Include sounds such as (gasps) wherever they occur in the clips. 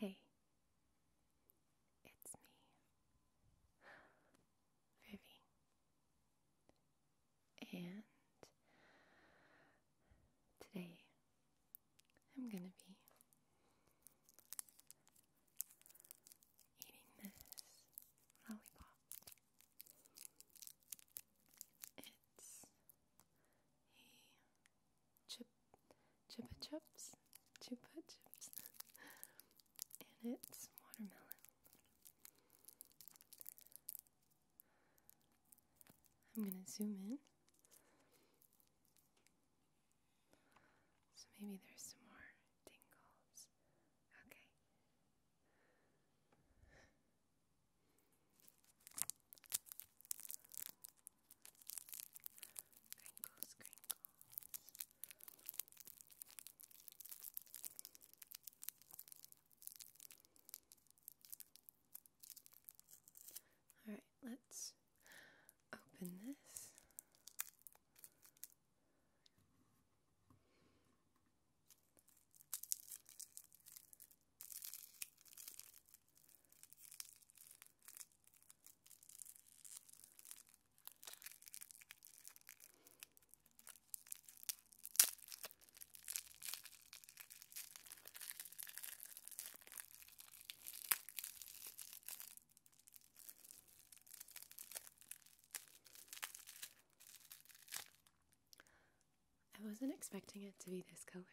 Hey, it's me, Vivi, and today I'm gonna be eating this lollipop. It's a chip chupa chups, chupa chips, and it's watermelon. I'm gonna zoom in so maybe there's some more tingles. Okay. Crinkles, crinkles. All right, let's open this. I wasn't expecting it to be this color.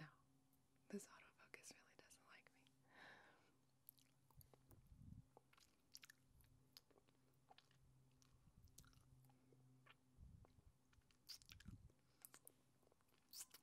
No. No. This autofocus really doesn't like me.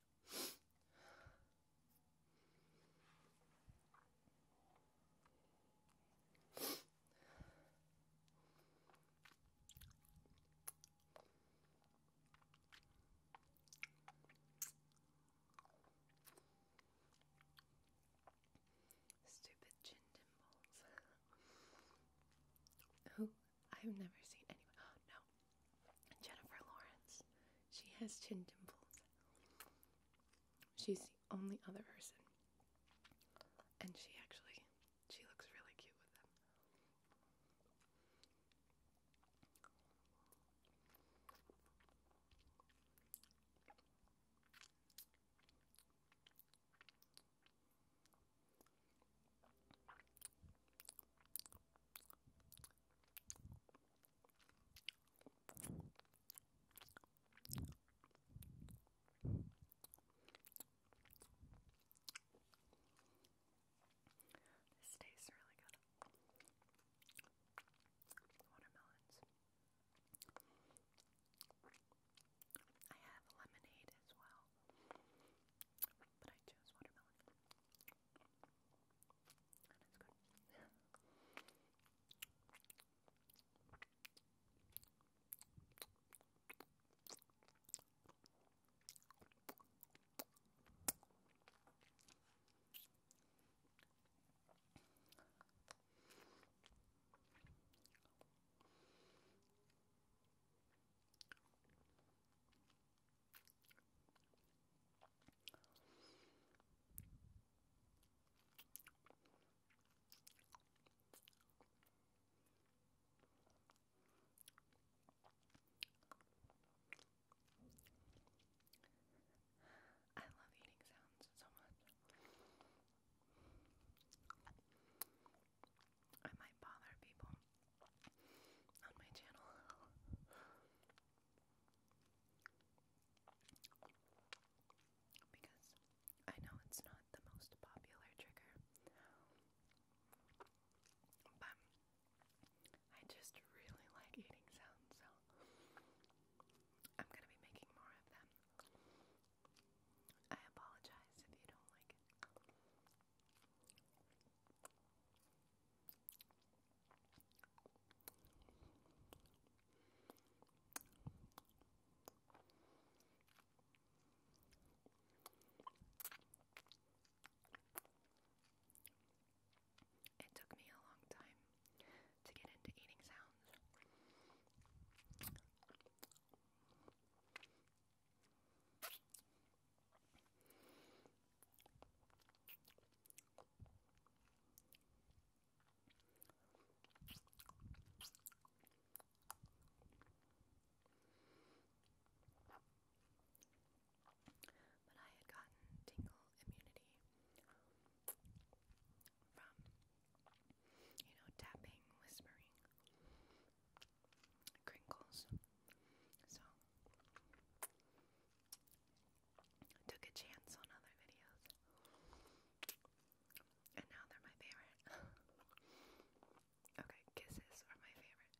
Stupid chin dimples. Who I've never seen anyone. (gasps) no. Jennifer Lawrence. She has chin dimples. She's the only other person. And she actually, she looks really cute with them. This tastes really good. Watermelons. I have lemonade as well but I chose watermelon. And good. I love eating sounds so much. I might bother people on my channel. Because I know it's not the most popular trigger, but I just really (laughs) like eating sounds, so I'm gonna be making more of them. I apologize if you don't like it. It took me a long time to get into eating sounds. But I had gotten tingle immunity from, you know, tapping, whispering crinkles. So took a chance on other videos. And now they're my favorite. (laughs) okay, kisses are my favorite.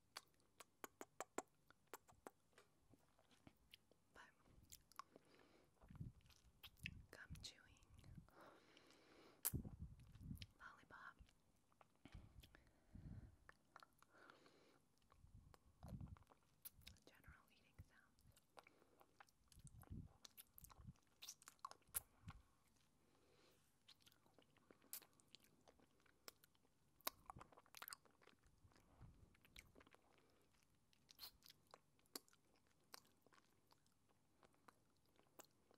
But gum chewing, lollipop, General eating sounds.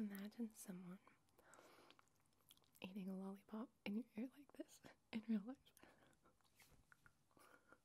Imagine someone eating a lollipop in your ear like this in real life. Get the fuck out of my ear.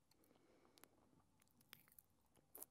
Slow it down a bit.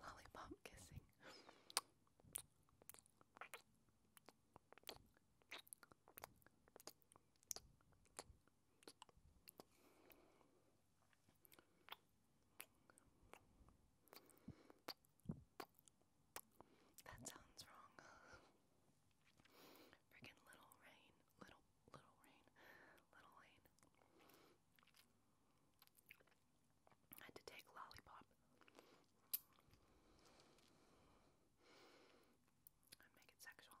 Lollipop kissing. That sounds wrong. (laughs) Freaking little rain. Little, little rain. Little rain. had to take lollipop and make it sexual.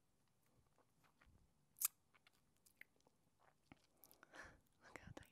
Look how tiny it is.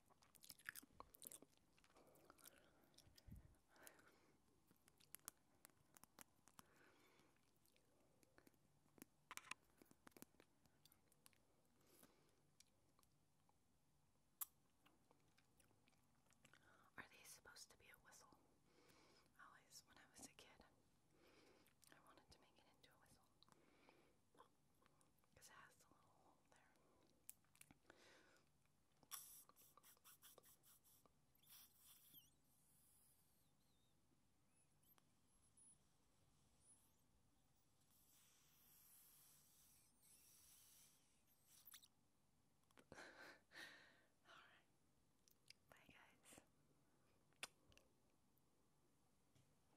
Are these supposed to be a whistle? Always, when I was a kid, I wanted to make it into a whistle because it has the little hole there. (laughs) All right. Bye guys.